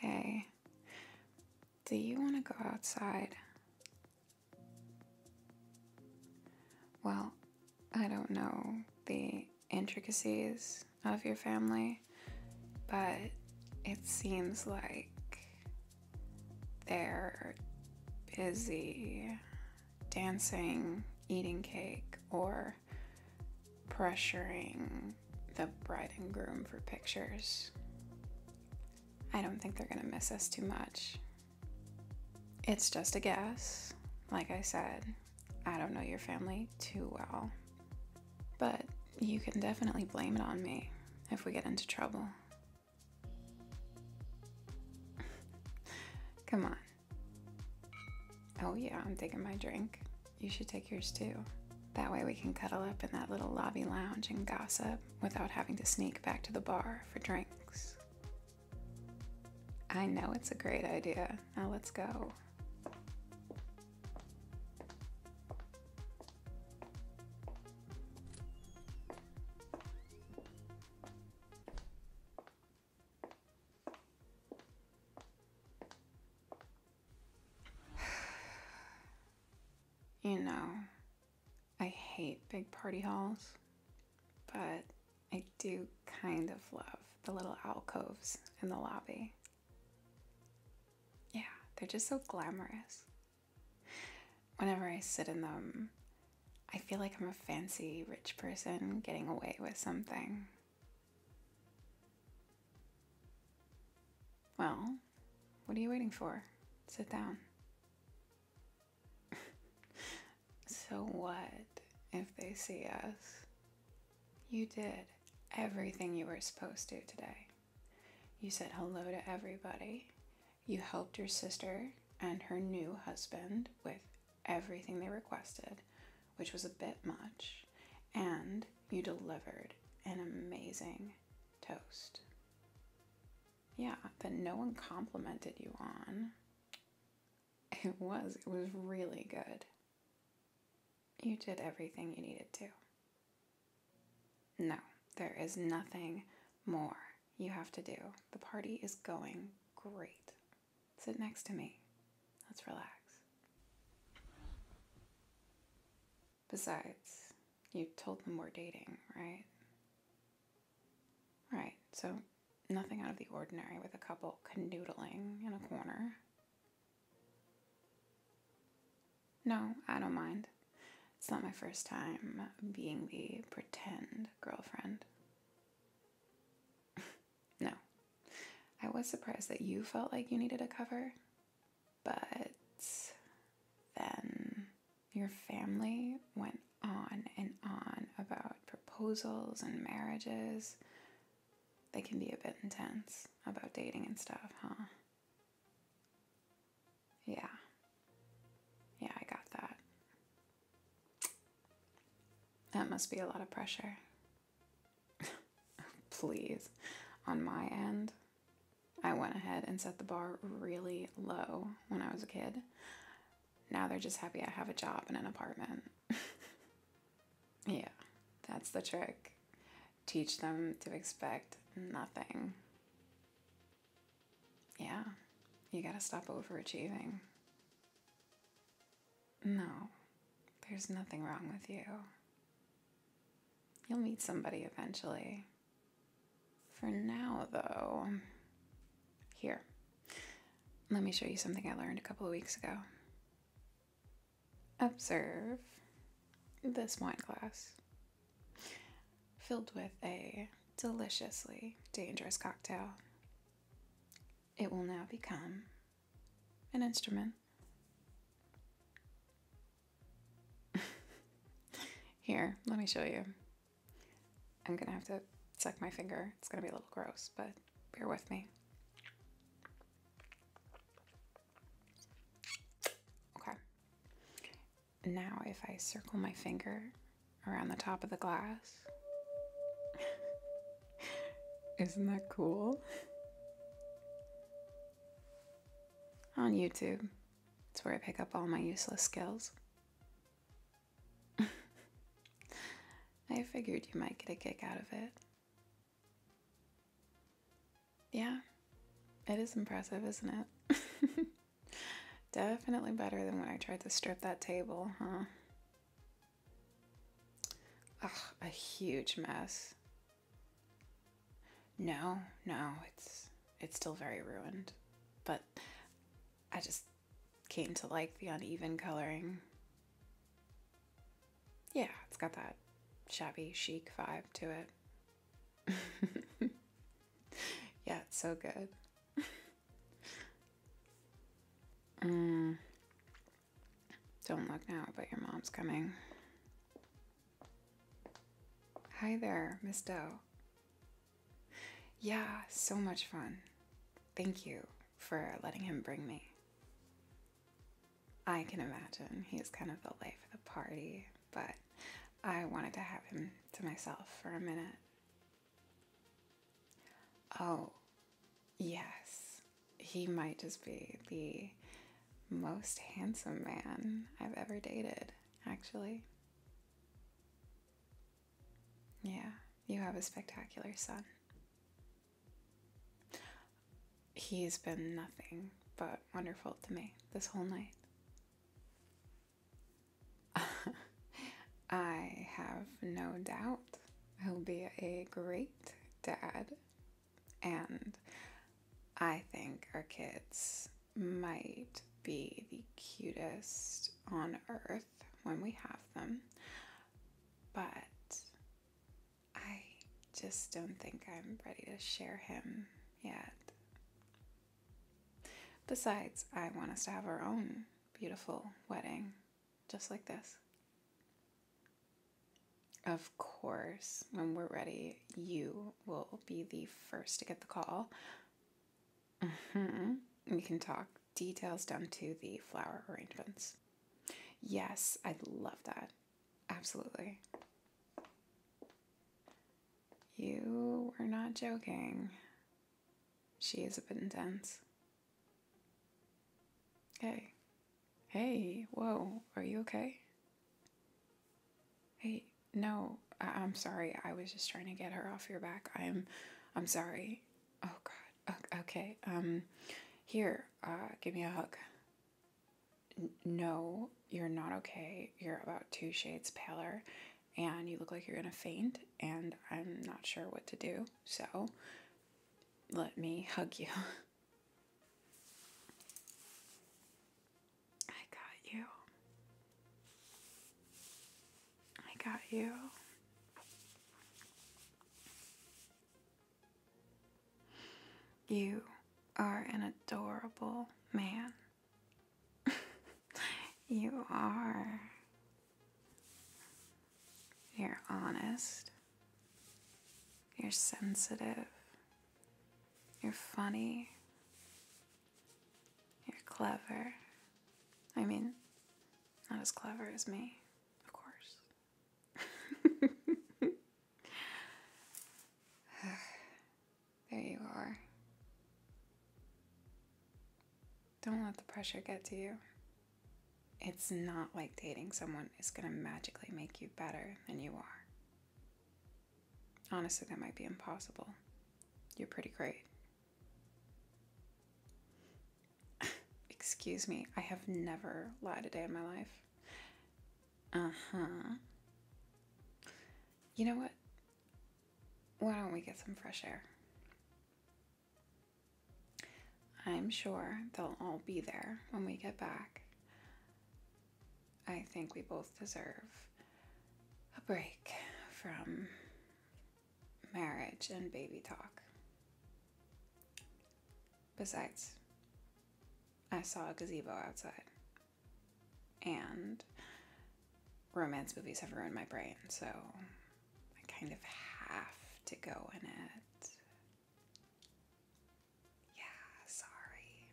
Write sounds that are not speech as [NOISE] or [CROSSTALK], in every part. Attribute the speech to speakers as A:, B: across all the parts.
A: Hey, do you want to go outside? Well, I don't know the intricacies of your family, but it seems like they're busy dancing, eating cake, or pressuring the bride and groom for pictures. I don't think they're gonna miss us too much. It's just a guess, like I said, I don't know your family too well, but you can definitely blame it on me if we get into trouble. [LAUGHS] Come on. Oh, yeah, I'm taking my drink. You should take yours too. That way we can cuddle up in that little lobby lounge and gossip without having to sneak back to the bar for drinks. I know it's a great idea. Now let's go. [SIGHS] you know, I hate big party halls, but I do kind of love the little alcoves in the lobby. Yeah, they're just so glamorous. Whenever I sit in them, I feel like I'm a fancy rich person getting away with something. Well, what are you waiting for? Sit down so what if they see us? You did everything you were supposed to today. You said hello to everybody. You helped your sister and her new husband with everything they requested, which was a bit much. And you delivered an amazing toast. Yeah, that no one complimented you on. It was. It was really good. You did everything you needed to. No, there is nothing more you have to do. The party is going great. Sit next to me. Let's relax. Besides, you told them we're dating, right? Right, so nothing out of the ordinary with a couple canoodling in a corner. No, I don't mind. It's not my first time being the pretend girlfriend. [LAUGHS] no. I was surprised that you felt like you needed a cover, but then your family went on and on about proposals and marriages. They can be a bit intense about dating and stuff, huh? Yeah. Yeah, I got that. That must be a lot of pressure. [LAUGHS] Please. On my end, I went ahead and set the bar really low when I was a kid. Now they're just happy I have a job and an apartment. [LAUGHS] yeah, that's the trick. Teach them to expect nothing. Yeah, you gotta stop overachieving. No, there's nothing wrong with you. You'll meet somebody eventually. For now, though, here, let me show you something I learned a couple of weeks ago. Observe this wine glass filled with a deliciously dangerous cocktail. It will now become an instrument. [LAUGHS] Here, let me show you. I'm gonna have to suck my finger. It's gonna be a little gross, but bear with me. Okay. Now if I circle my finger around the top of the glass, [LAUGHS] isn't that cool? On YouTube, it's where I pick up all my useless skills. [LAUGHS] I figured you might get a kick out of it. Yeah, it is impressive, isn't it? [LAUGHS] Definitely better than when I tried to strip that table, huh? Ugh, a huge mess. No, no, it's it's still very ruined. But I just came to like the uneven coloring. Yeah, it's got that shabby chic vibe to it. [LAUGHS] yeah, it's so good. [LAUGHS] Mm. Don't look now, but your mom's coming. Hi there, Miss Doe. Yeah, so much fun. Thank you for letting him bring me. I can imagine he's kind of the life of the party, but I wanted to have him to myself for a minute. Oh, yes, he might just be the most handsome man I've ever dated, actually. Yeah, you have a spectacular son. He's been nothing but wonderful to me this whole night. [LAUGHS] I have no doubt he'll be a great dad. And I think our kids might be the cutest on earth when we have them, but I just don't think I'm ready to share him yet. Besides, I want us to have our own beautiful wedding, just like this. Of course, when we're ready, you will be the first to get the call. Mm-hmm. We can talk details down to the flower arrangements. Yes, I love that. Absolutely. You are not joking. She is a bit intense. Hey. Hey, whoa, are you okay? Hey, no, I- am sorry. I was just trying to get her off your back. I'm, I'm sorry. Oh God. Okay. Um, here. Uh, give me a hug. no, you're not okay. You're about two shades paler, and you look like you're gonna faint. And I'm not sure what to do. So, let me hug you. [LAUGHS] I got you. I got you. You are an adorable man. [LAUGHS] you are. You're honest. You're sensitive. You're funny. You're clever. I mean, not as clever as me, of course. [SIGHS] there you are. Don't let the pressure get to you. It's not like dating someone is gonna magically make you better than you are. Honestly, that might be impossible. You're pretty great. [LAUGHS] Excuse me, I have never lied a day in my life. Uh huh. You know what? Why don't we get some fresh air? I'm sure they'll all be there when we get back. I think we both deserve a break from marriage and baby talk. Besides, I saw a gazebo outside. And romance movies have ruined my brain, so I kind of have to go in it. Yeah, sorry.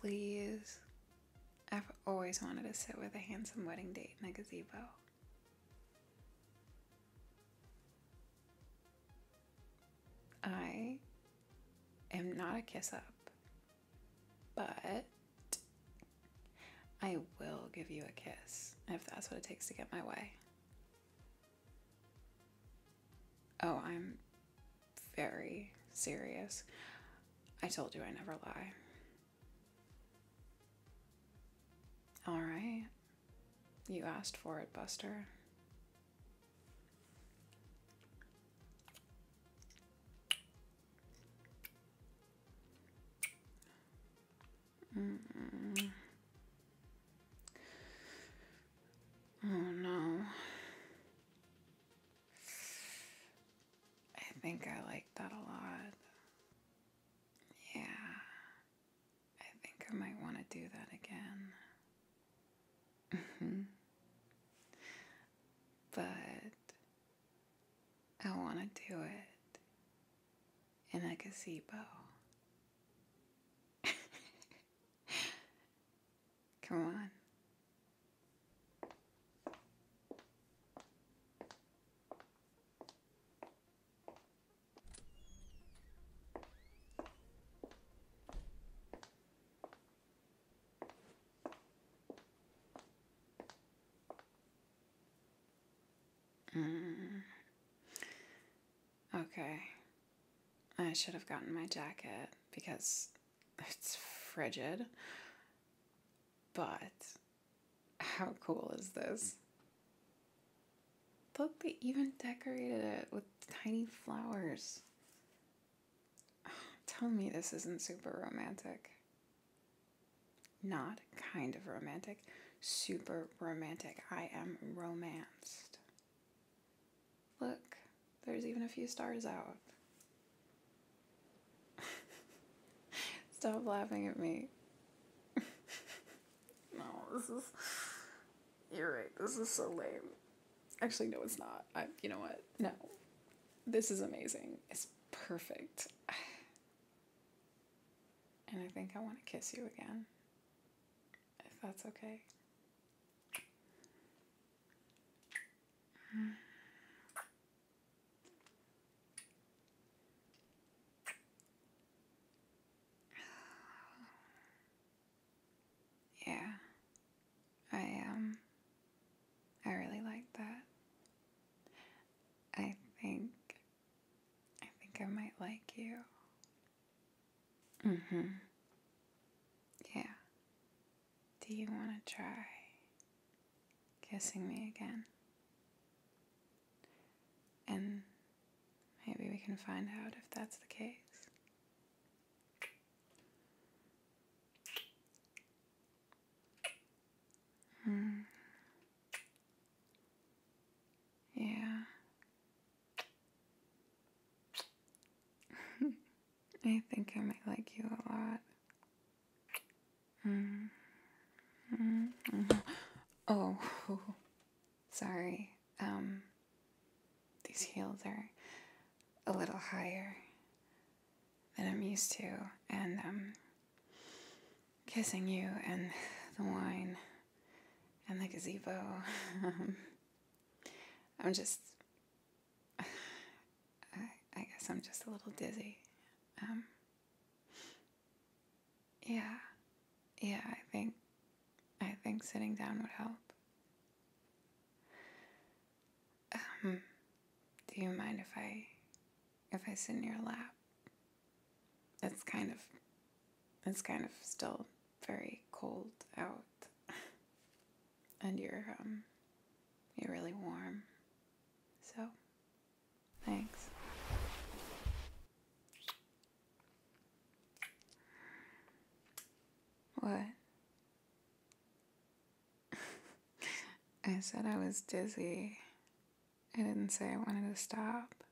A: Please. I've always wanted to sit with a handsome wedding date in a gazebo. I am not a kiss up, but I will give you a kiss if that's what it takes to get my way. Oh, I'm very serious. I told you I never lie. All right. You asked for it, Buster. Mm. Oh no. I think I like that a lot. Yeah. I think I might want to do that again. Mm-hmm. but I want to do it in a gazebo. [LAUGHS] Come on. Mm. Okay. I should have gotten my jacket because [LAUGHS] it's frigid. But how cool is this? Look, they even decorated it with tiny flowers. [SIGHS] Tell me this isn't super romantic. Not kind of romantic, super romantic. I am romanced. Look, there's even a few stars out. [LAUGHS] Stop laughing at me. [LAUGHS] no, this is. You're right, this is so lame. Actually, no, it's not. I, you know what? No. This is amazing. It's perfect. [SIGHS] And I think I want to kiss you again, if that's okay. [SIGHS] Yeah, I um, I really like that. I think I think I might like you. Mm hmm. Yeah. Do you want to try kissing me again? And maybe we can find out if that's the case. Mm. Yeah. [LAUGHS] I think I might like you a lot. Mm. Mm. Oh, [LAUGHS] sorry. Um, these heels are a little higher than I'm used to, and um, kissing you and [LAUGHS] the wine and the gazebo. [LAUGHS] I'm just, [SIGHS] I, I, guess I'm just a little dizzy. Um, yeah, yeah, I think, I think sitting down would help. Um, do you mind if I, if I sit in your lap it's kind of it's kind of still very cold out. [LAUGHS] and you're um you're really warm. So, thanks. What? [LAUGHS] I said I was dizzy. I didn't say I wanted to stop. [SIGHS]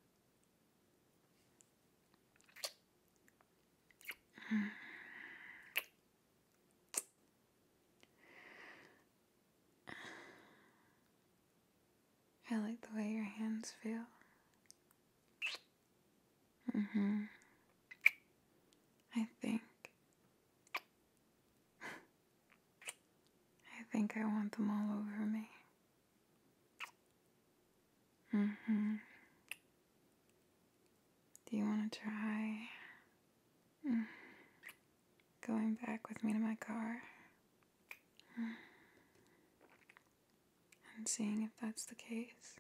A: I like the way your hands feel. Mhm. I think I think I want them all over me. hmm. Do you want to try mm-hmm. going back with me to my car? And seeing if that's the case?